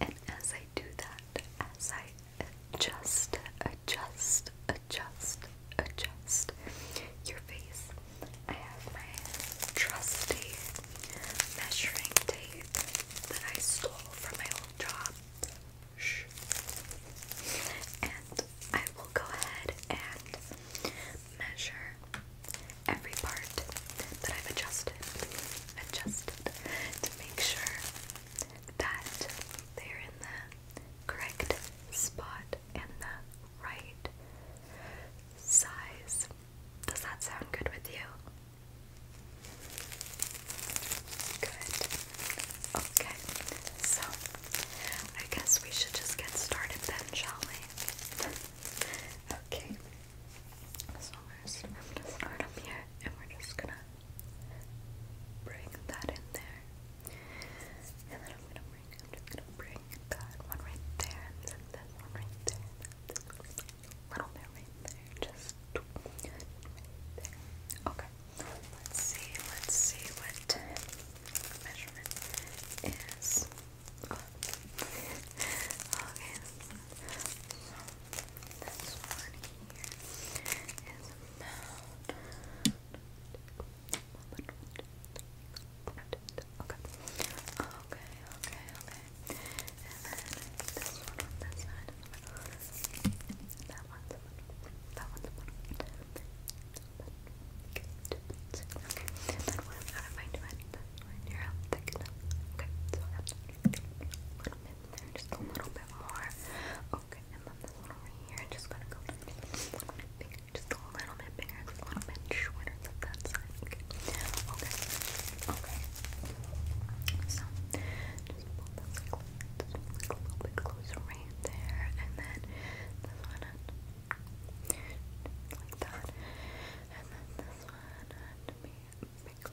And as I do that, as I adjust, adjust, adjust, adjust your face, I have my trusty measuring tape that I stole from my old job. Shh. And I will go ahead and measure every part that I've adjusted, adjusted to make sure that they're in the correct spot and the right size. Does that sound good with you? Good. Okay, so I guess we should just get started then, shall we? okay. So i I'm gonna start up here, and we're just gonna bring that in there, and then I'm gonna bring, just gonna bring that one right there, and then one right there, little bit right there, just Okay, let's see, let's see what measurement is. okay, this one here is about. Okay. Okay, okay, okay. And then this one on this side. That one's one. That one. Okay. then when I'm out of my twin, when you're out thick enough. Okay, so I have to a little bit there, just a little bit more. Okay, and then this one over here, just gonna go a little bit just a little bit bigger, a little bit shorter than that side. Okay, okay, okay. So, just pull this a little bit closer right there, and then this one like that, and then this one and be big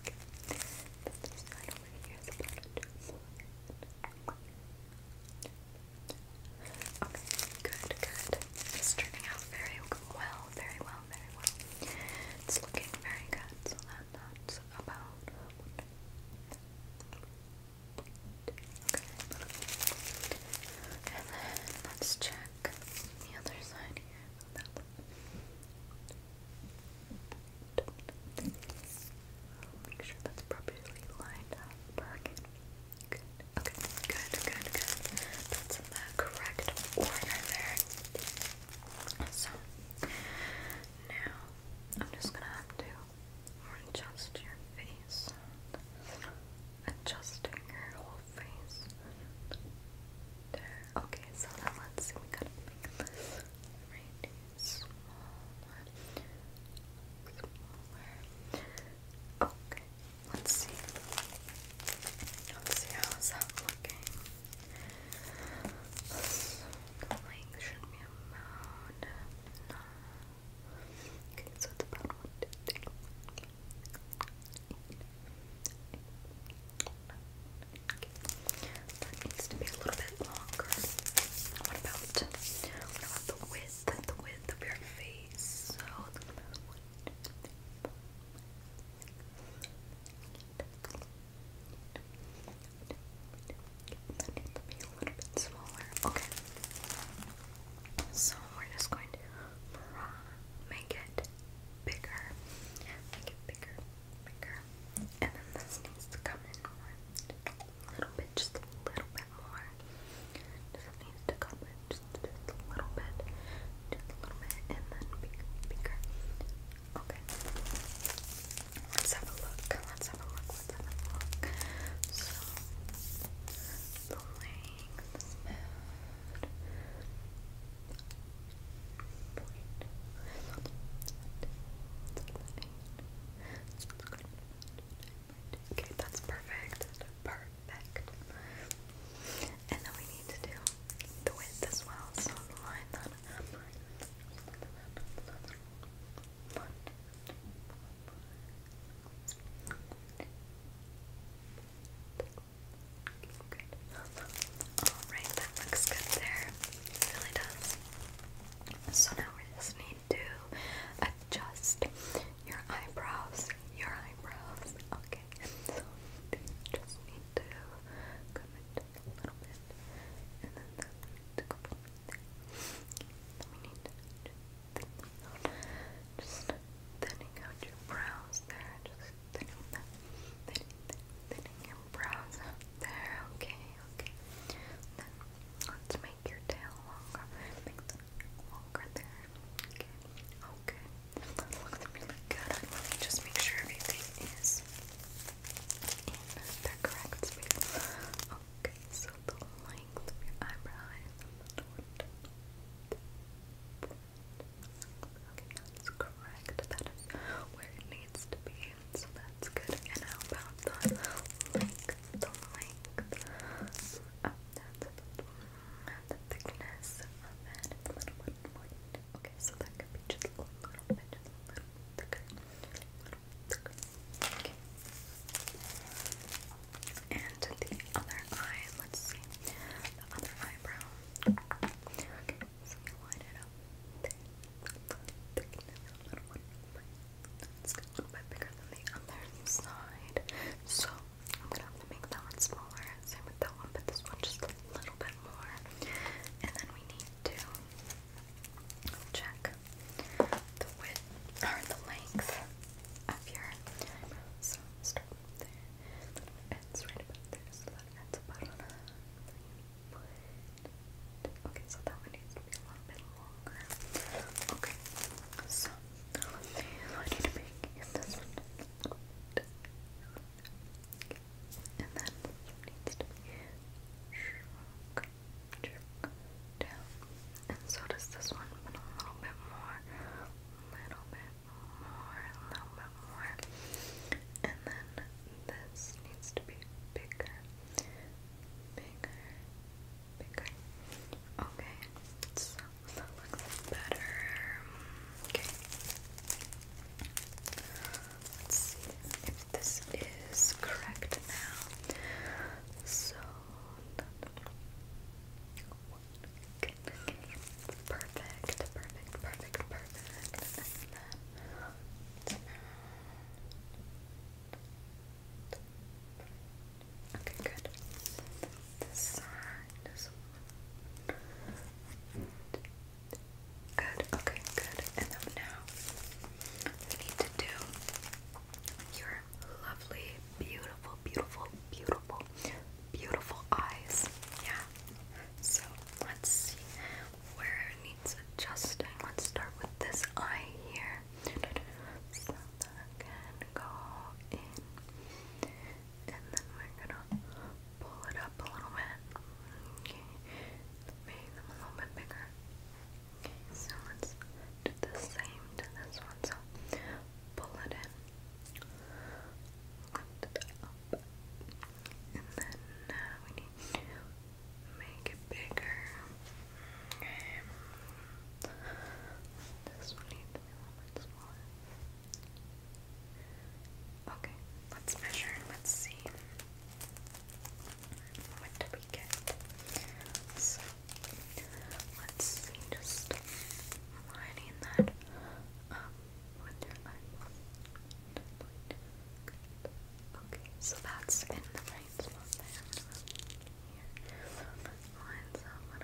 Okay. good, good. It's turning out very well, very well, very well. It's looking very good, so that's about Okay. And then let's check the other side here. Make sure that's properly lined up. Perfect. Good. Good. Good. Good. That's in the correct order there. So now I'm just gonna have to adjust your face. Adjusting your whole face. There Okay, so let's see. We gotta make this right Okay, let's see. Let's see how is that looking. So the Okay, so it's about one, two, three. That needs to be a little bit longer. What about, the width, the width of your face? So, that needs to be a little bit smaller. Okay. So we're just going to Make it bigger. Make it bigger, bigger. And then this needs to come in A little bit, just a little bit more. Just needs to come in just, just a little bit. Just a little bit. And then bigger, bigger. Okay. Let's have a look. Let's have a look. Let's have a look. So, the length Okay, that's perfect. Perfect. And then we need to do the width as well. So line that up. One. One. One. Alright, that looks good there. really does. So now we just need to adjust your eyebrows. Your eyebrows. Okay. So we just need to come a little bit. And then we need to Just thinning out your brows there. Just thinning thinning, thinning your brows there. Okay, okay. let's make your tail longer. Make the longer there. Okay. Okay. That looks really good. just make sure everything is in the correct space. Okay, so the length of your eyebrow Okay, that's correct. That is where it needs to be. So that's good. And how about the length? The length. Oh, that's the thickness of it. little bit more. Okay, so that could be just a little bit, just A little thicker. Okay. And the other eye, let's see. The other eye eyebrow. Okay, so you line it up. There. Little one. It's a little bit bigger than the other side. So I'm gonna have to make that one smaller. Same with that one, but this one just a little bit more. And then we need to check the width or the length of your eyebrow. So start there little right about there, Okay, so that one needs to be a little bit longer. Okay, so I need to make this one and then needs to be shrunk, down. And so does this one, a little bit more, little bit more, a little bit more. And then this needs to be bigger, bigger, bigger. Okay, so that looks better. Okay. Let's see if this is correct now. So, Perfect, perfect, perfect, perfect. Okay, good. This side, Good, okay, good. And now we need to do your lovely, beautiful, beautiful, beautiful beautiful, eyes. Yeah. So let's see where it needs adjusting. Let's start with this eye here. So that can go in. And then we're gonna pull it up a little bit. Okay. Make them a little bit bigger. Okay, so let's do the same to this one. So pull it in and then uh, we need make it bigger. Okay. This one needs to be a little bit smaller. Okay, let's measure and let's see what do we get. Let's see, just lining that up with Okay, so that's in the right spot there. Here. Lines up what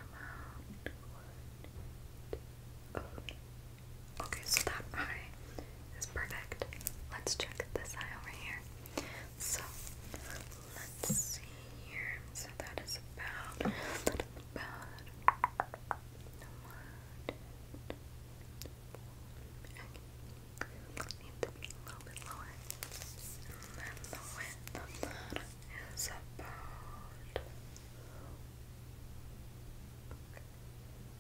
about Okay, so that eye is perfect. Let's check this eye over here. So let's see here. So that is about about one. Okay. Need to be a little bit lower. And then the width of about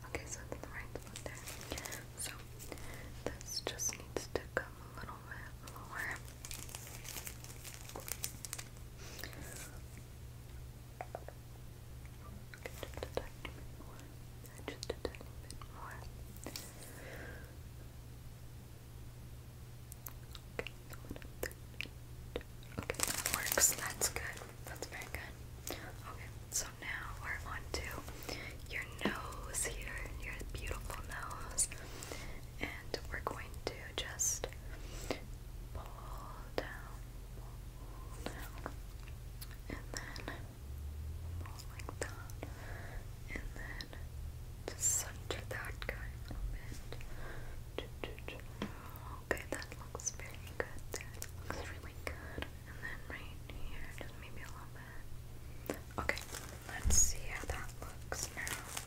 Okay, so that's the right one there. So this just needs to come a little bit lower. Just a tiny bit more. Just a tiny bit more. Okay, okay, that works. That's good. That's very good. Okay, so now we're on your nose here, your beautiful nose and we're going to just pull down, and then pull like that, and then just center that guy a bit. Okay, that looks very good looks really good. And then right here, maybe a little bit. Okay, let's see how that looks now.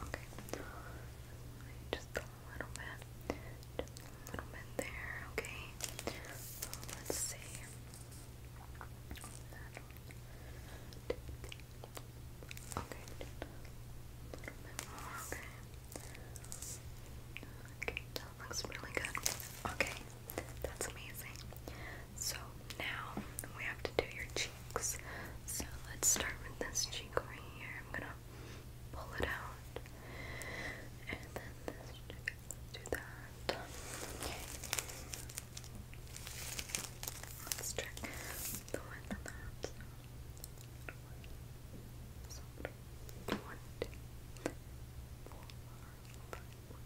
Okay. Just a little bit. Just a little bit there, okay? So let's see. Okay. okay. Okay, that looks really good. Okay, that's amazing. So now we have to do your cheeks. So let's start with this cheek right here. I'm gonna pull it out. And then this cheek. Let's do that. Let's check the width of that. So,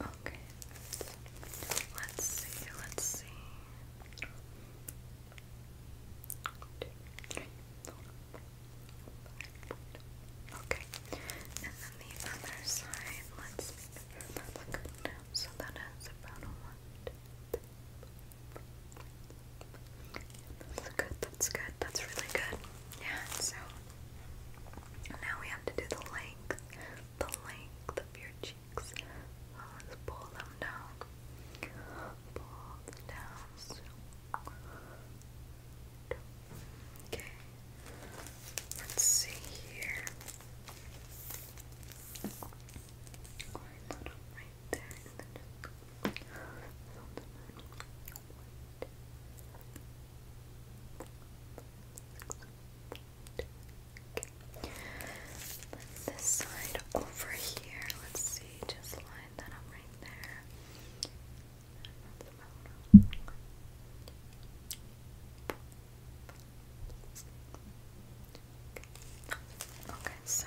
Okay. Let's see, let's see. Okay. And then the other side, let's make that look good now. So that is about one. That's good, that's good, that's really good. Yeah, it now we have to do the length, the length of your cheeks. Oh, let's pull them down. Pull them down. Okay. Let's see here. Line that right there, and then just this side over here. Let's see, just line that up right there. Okay, so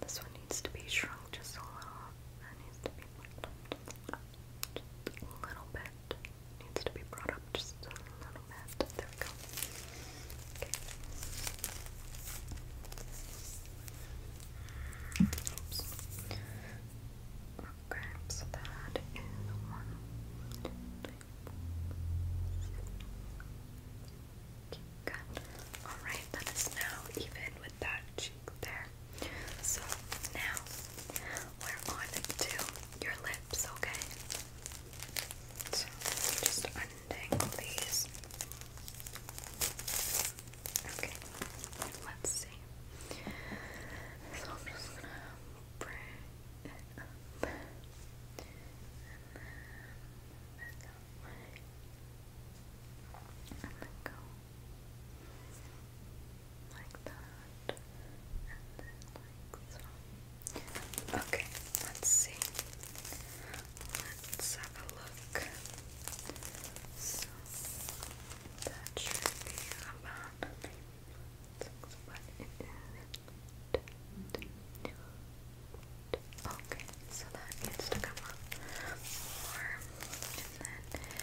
this one needs to be shrunk just a little. Just a little bit. Needs to be brought up just a little bit. There we go. Okay. Oops. Okay, so that is one. Two, three, Good. Alright, that is now even with that cheek there. So now we're on to your lips, okay? just untangle these. Okay, let's see. So I'm just gonna bring and then bend go like that. Okay, let's see. Let's have a look. So that should be about six, Okay, so that needs to come up more. And then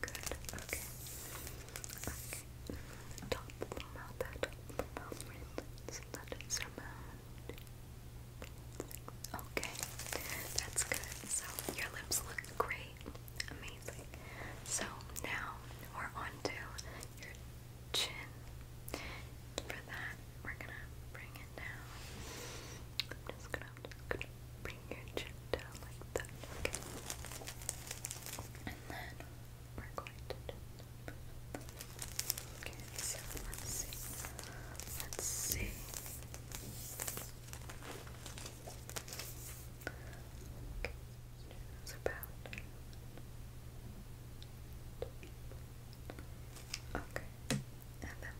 Good, okay. Okay. Top of the mouth, that the mouth, let's let it Okay, that's good. So your lips look great. Amazing. So now we're on your chin. For that, we're gonna bring it down. I'm just gonna and I'm just gonna bring your chin down like that. Okay. And then we're going to just Okay, so let's see. Let's see. Okay, it's about Okay and then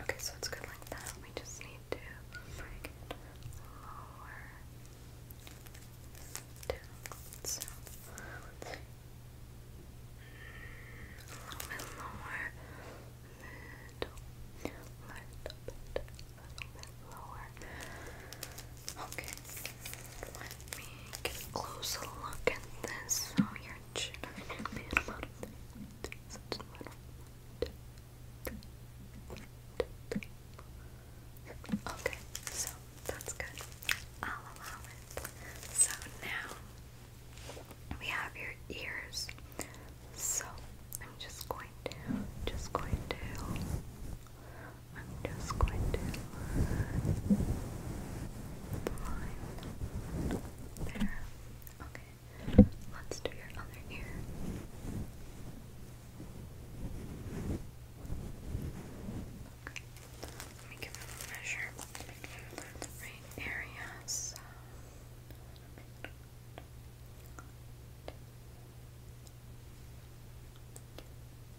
Okay, so it's good like that. We just need to bring it lower down. So A little bit lower, little, little bit, a little bit lower. Okay. Let me get a closer look at this. So oh, your chin Okay, so that's good. I'll allow it. So now we have your ears. So I'm just going to, just going to I'm just going to line there. Okay, let's do your other ear. Okay. Let me give them a measure. Right area, so. Okay.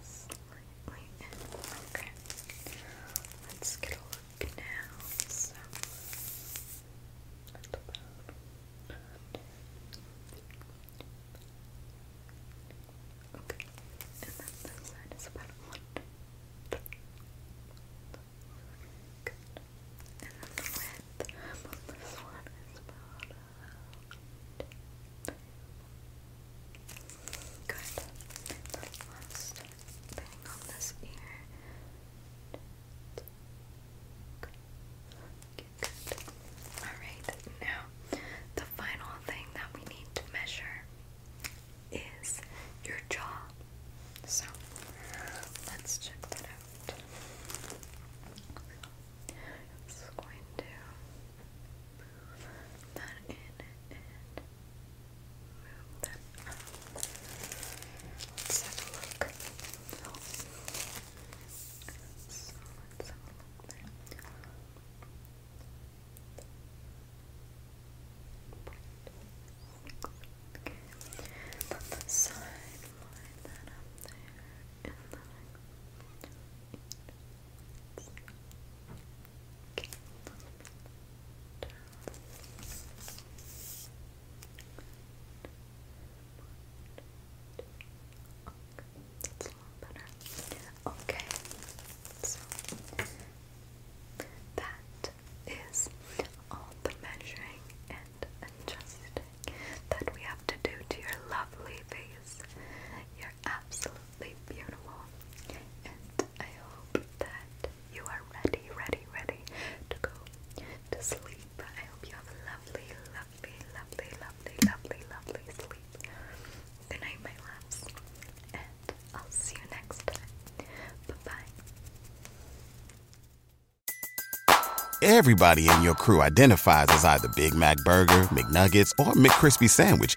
Slightly okay. Let's get a look now. Okay. And then this side is about one. And then the width of this one is about Good. The last thing on this ear. Good. Alright, now the final thing that we need to measure is your jaw. So let's check that out. So, it's going to move that in and move that up. Let's have a look. So, let's have a look there. Okay, then the side line that up there, and then Okay. That's all the measuring and adjusting that we have to do to your lovely face. You absolutely beautiful. And I hope that you are ready, ready, ready to go to sleep. I hope you have lovely, lovely, lovely, lovely, lovely, lovely sleep. Good night, my loves. And I'll see you next time. Bye-bye. Everybody in your crew identifies as either Big Mac Burger, McNuggets, or McCrispy Sandwich.